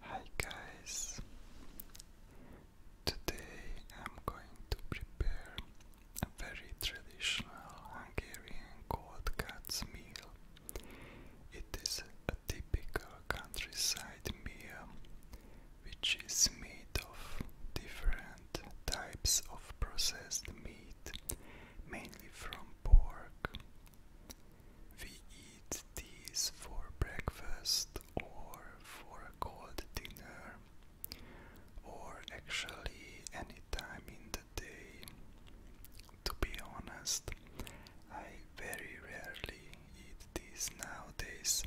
Hi guys! Today I'm going to prepare a very traditional Hungarian cold cuts meal. It is a typical countryside meal which is made of different types of processed meat mainly from pork. We eat these for breakfast or for a cold dinner, or actually any time in the day. To be honest, I very rarely eat these nowadays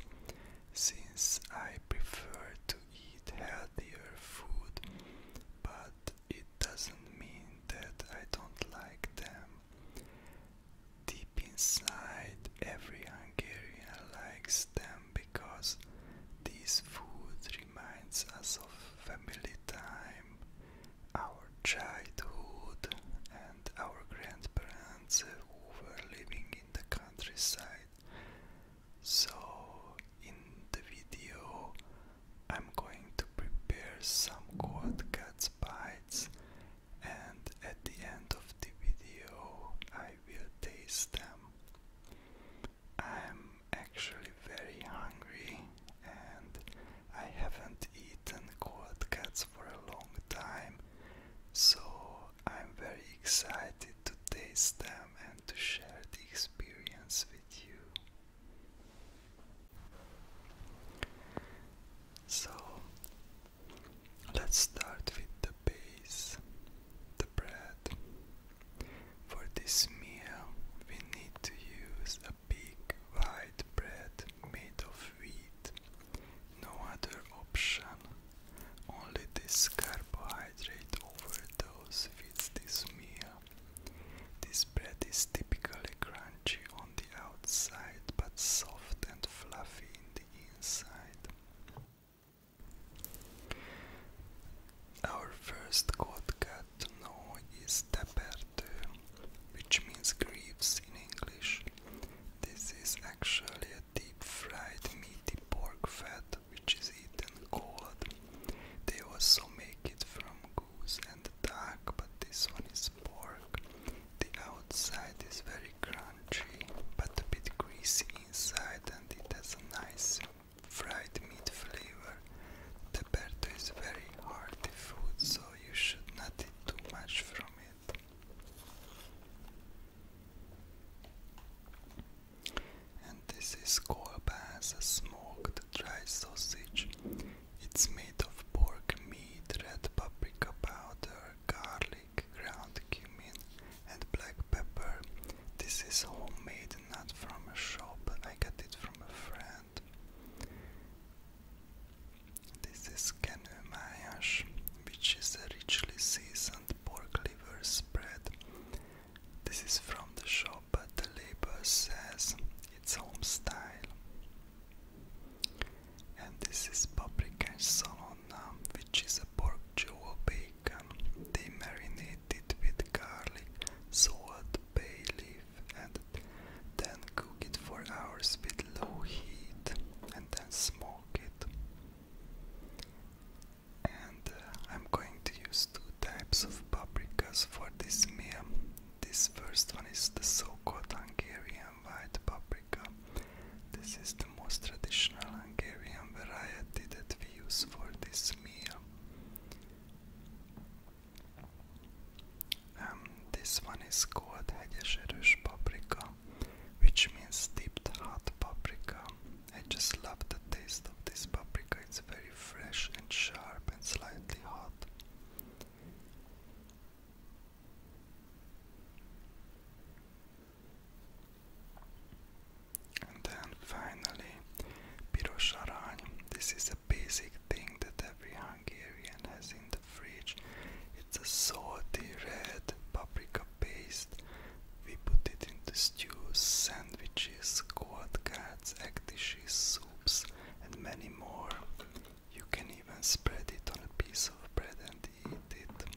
since I prefer to eat healthier food, but it doesn't mean that I don't like them. Deep inside, every Hungarian likes them because this food reminds us of family time, our childhood, and our grandparents who were living in the countryside. So, in the video, I'm going to prepare some quad cuts bites and at the end of the video I will taste them. I'm actually very hungry and I haven't eaten quad for a long time so I'm very excited to taste them and to share the experience with you. So let's start with the base, the bread. For this meal, we need to use a big white bread made of wheat. No other option, only this carbohydrate overdose fits this meal. This bread is typically crunchy on the outside but soft and fluffy in the inside. Our first quote know is taperte, which means greaves in English. This is actually a deep fried meaty pork fat which is eaten cold. They also make it from and the duck, but this one is pork. The outside is very crunchy, but a bit greasy inside, and it has a nice fried meat flavor. The Berto is very hearty food, so you should not eat too much from it. And this is kolba as a smoked dry sausage. It's made of pork meat, red paprika powder, garlic, ground cumin, and black pepper. This is homemade, not from a shop. I got it from a friend. This is canemayash, which is a richly seasoned pork liver spread. This is from the shop but the label says it's home style. And this is paprika and salona, which is a pork jewel bacon. They marinate it with garlic, salt, bay leaf, and then cook it for hours with low heat, and then smoke it. And uh, I'm going to use two types of paprikas for this meal. This first one is the so-called Hungarian white paprika. This is the most traditional Hungarian variety that we use for this meal. Um, this one is called hegyeserős paprika, which means dipped hot paprika. I just love the taste of this paprika. It's very fresh and sharp and slightly hot. And then finally, pirosarany. This is a basic thing that every Hungarian has in the fridge. It's a salty red paprika paste. We put it into stews, sandwiches, cold cuts, egg dishes, soups, and many more. You can even spread it on a piece of bread and eat it.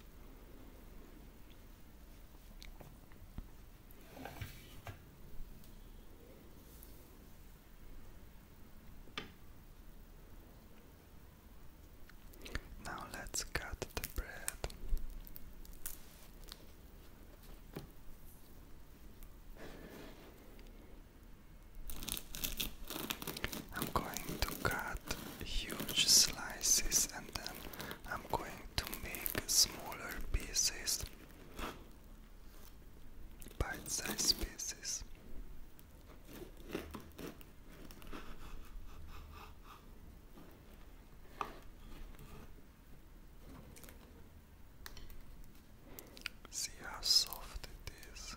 Now let's cut the bread. I'm going to cut huge slices and then I'm going to make smaller pieces, bite sized pieces. See how soft it is.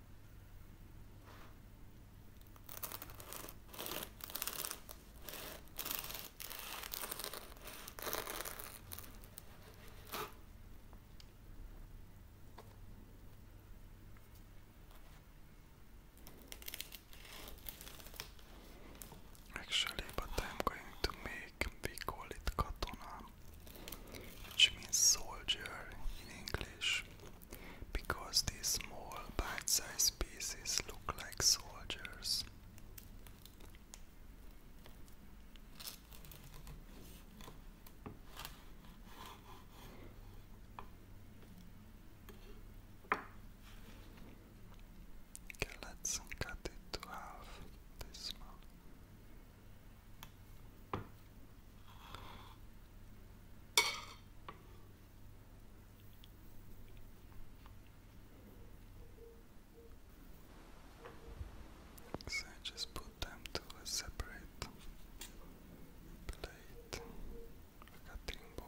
Actually, but I'm going to make, we call it katona, which means soldier in English because these small bite-sized pieces look like soldiers. Okay, let's cut it to half this so I just put them to a separate plate, cutting board.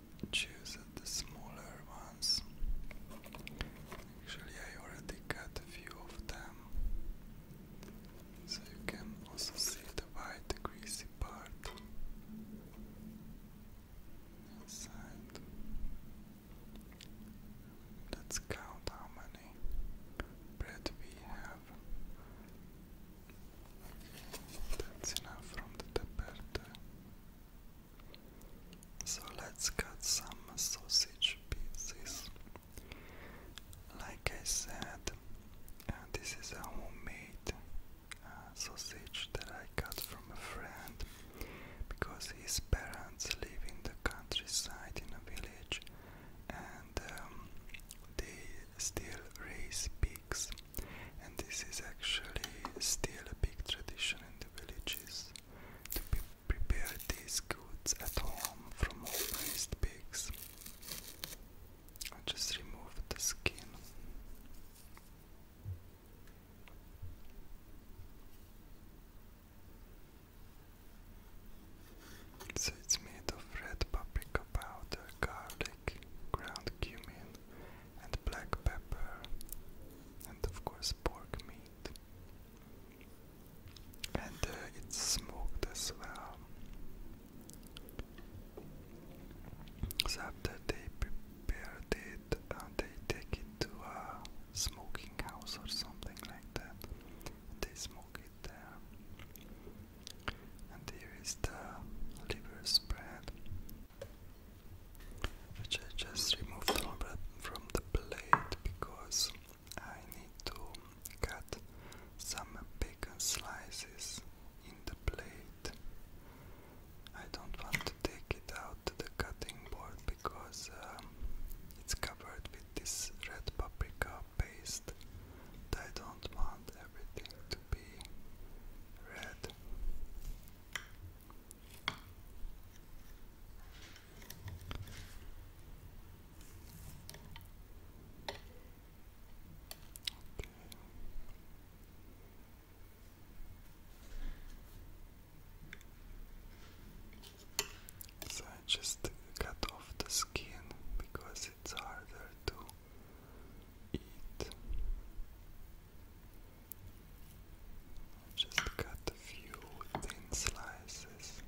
choose the smaller ones. Actually, I already got a few of them, so you can also see the white greasy part inside. Let's count how many bread we have. That's from the tapete. So let's cut some sausage pieces. Like I said, uh, this is a homemade uh, sausage that I got from a friend because his parents live in the countryside in a village and um, they still raise pigs and this is actually still a big tradition in the villages to prepare these goods at home from all raised pigs. I just removed the skin. So it's made of red paprika powder, garlic, ground cumin, and black pepper, and of course pork meat, and uh, it's smoked as well. So after they prepared it, uh, they take it to a smoking house or something like that. They smoke it there. And here is the liver spread which I just removed from the plate because I need to cut some bacon slices in the plate. I don't want to take it out to the cutting board because um, it's covered with this red paprika paste that I don't want want everything So I just cut off the skin because it's harder to eat. Just cut a few thin slices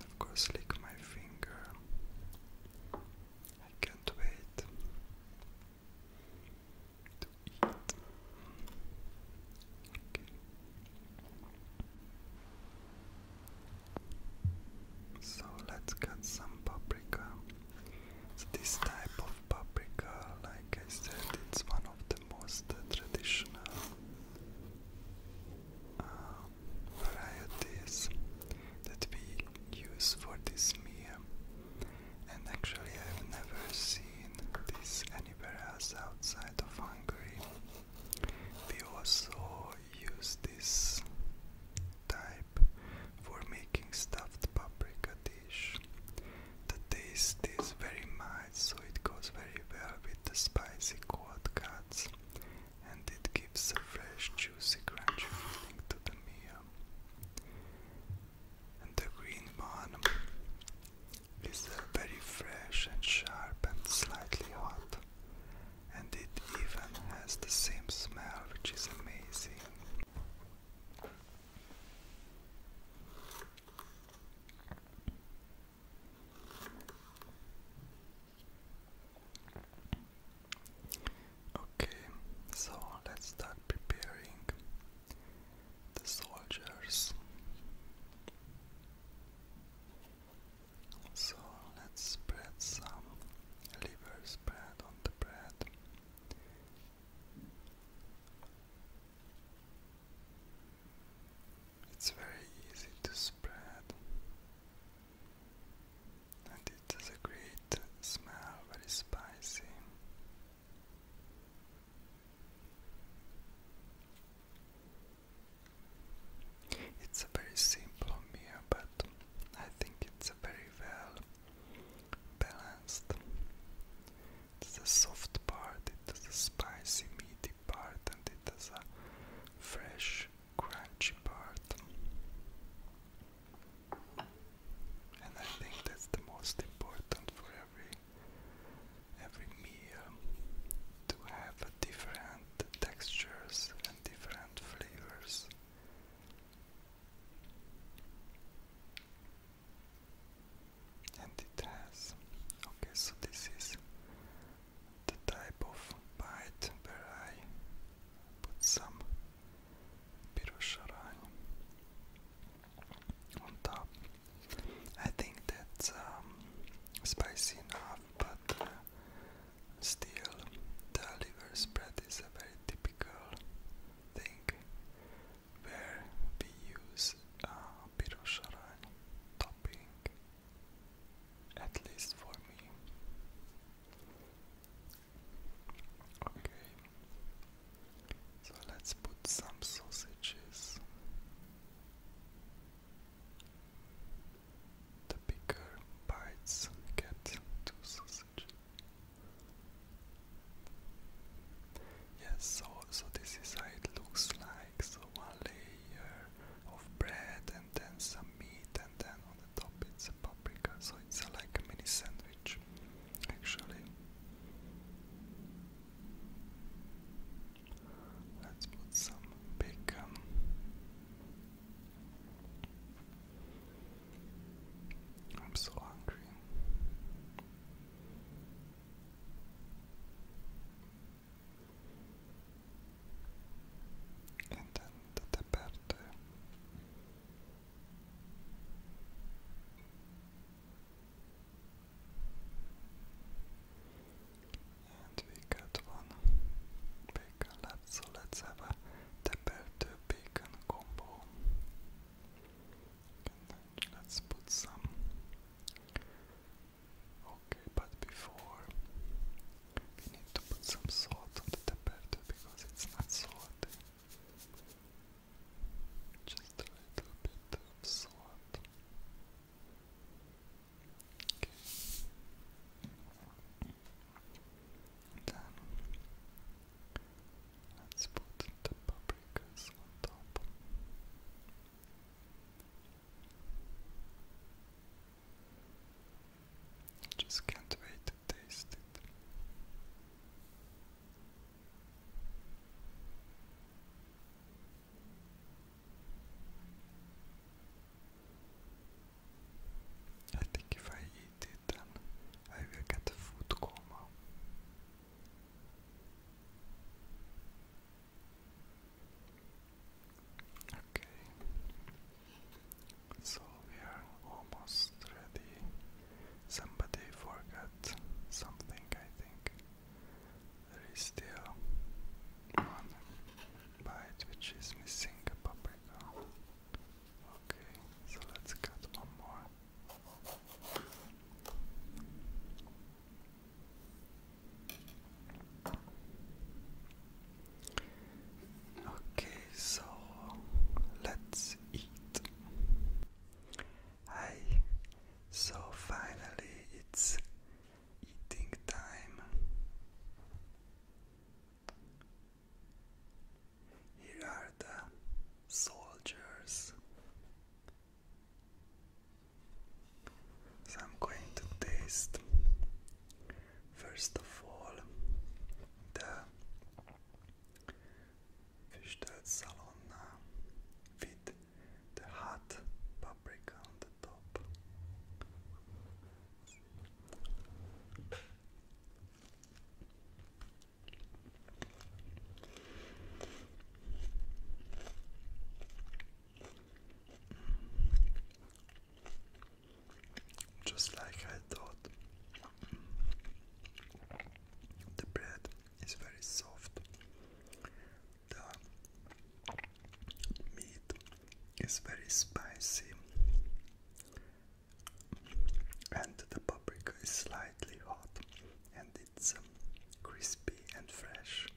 of course, lick my finger. I can't wait So let's cut some paprika. this type of paprika, like I said, it's one of the most traditional um, varieties that we use for this meal, and actually, I've never seen this anywhere else outside of Hungary. We also use this type for making stuffed paprika dish the taste is very mild, so it goes very well with the spicy quads, and it gives a fresh, juicy, crunchy feeling to the meal. And the green one is uh, very fresh and sharp and slightly hot, and it even has the same smell, which is amazing. Okay, so let's start preparing the soldiers. So let's spread some liver spread on the bread. It's very easy to spread, and it has a great smell, very spicy. It's a very simple meal, but I think it's a very well balanced. It's a soft part, it's has a spicy, meaty part and it is a fresh crunchy part and I think that's the most important for every every meal to have different textures and different flavors and it has okay so this is the type of bite where I put some pirosharai on top I think that's um, spicy enough but uh, still the liver spread is a very typical thing where we use a uh, Pirosharan topping, at least for me. Okay, so let's put some sausages. The bigger bites get two sausages. Yes, so so this is how it looks like so one layer of bread and then some meat and then on the top it's a paprika so it's like a mini sandwich actually let's put some bacon I'm so hungry and then the parte and we got one bacon so let's have a taperte bacon combo. let's put some Okay, but before we need to put some salt on the tapete because it's not salty. Just a little bit of salt. Okay. Then let's put the paprikas on top. I Just can't wait to taste it. I think if I eat it, then I will get a food coma. Okay, so we are almost ready. Somebody forgot something, I think. There is still one bite which is missing a paprika. Okay, so let's cut one more. Okay, so let's eat. Hi, so finally it's eating time. Here are the soldiers so I'm going to taste first of all the Fishtelt Salonna with the hot paprika on the top. Just like I thought, the bread is very soft, the meat is very spicy, and the paprika is slightly hot, it's crispy and fresh.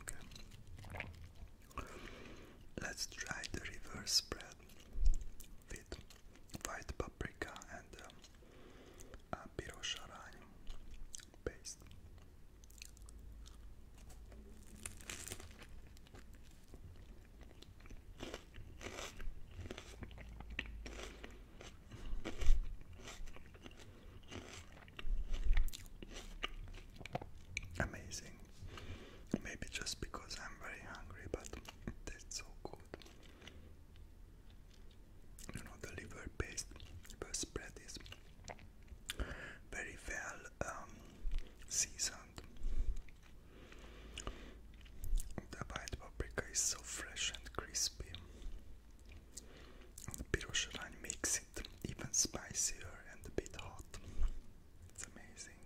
Okay. Let's try the reverse spread with white paprika and um, a pirosharan paste. Amazing. Maybe just because I'm very hungry, but it so good. You know, the liver paste, liver spread is very well um, seasoned. The white paprika is so fresh and crispy. the piroshaline makes it even spicier and a bit hot. It's amazing.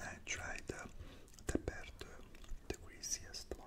I tried the the better, the greasiest one.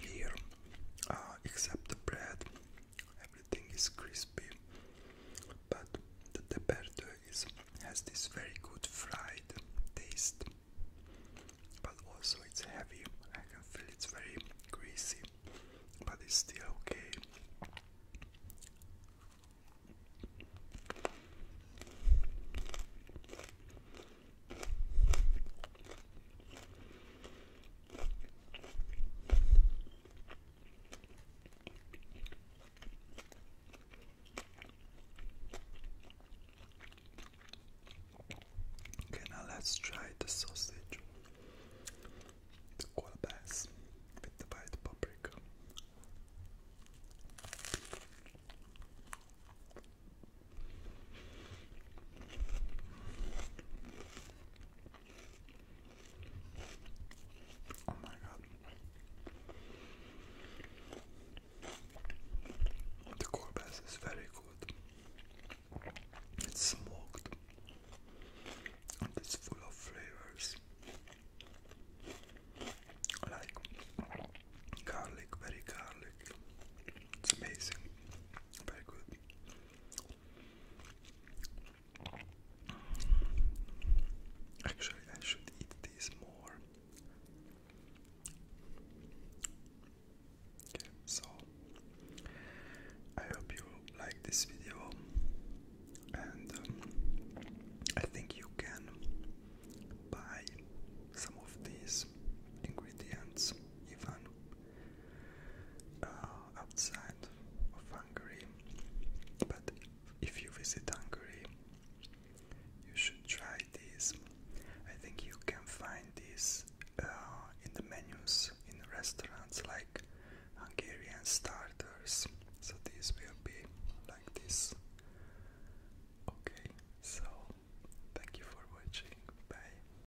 here uh, except the bread everything is crispy but the teperdo is has this very good fried taste but also it's heavy I can feel it's very greasy but it's still okay Okay, now let's try the sausage, the colbass with the white paprika. Oh my god. The Corbass is very good. It's smoked and it's full of flavors like garlic, very garlic. It's amazing. Very good. Actually, I should eat these more. so I hope you like this video, and um, I think you can buy some of these ingredients even uh, outside of Hungary. But if you visit Hungary, you should try these. I think you can find this uh, in the menus in restaurants like Hungarian starters. So this will be like this. Okay, so thank you for watching. Bye.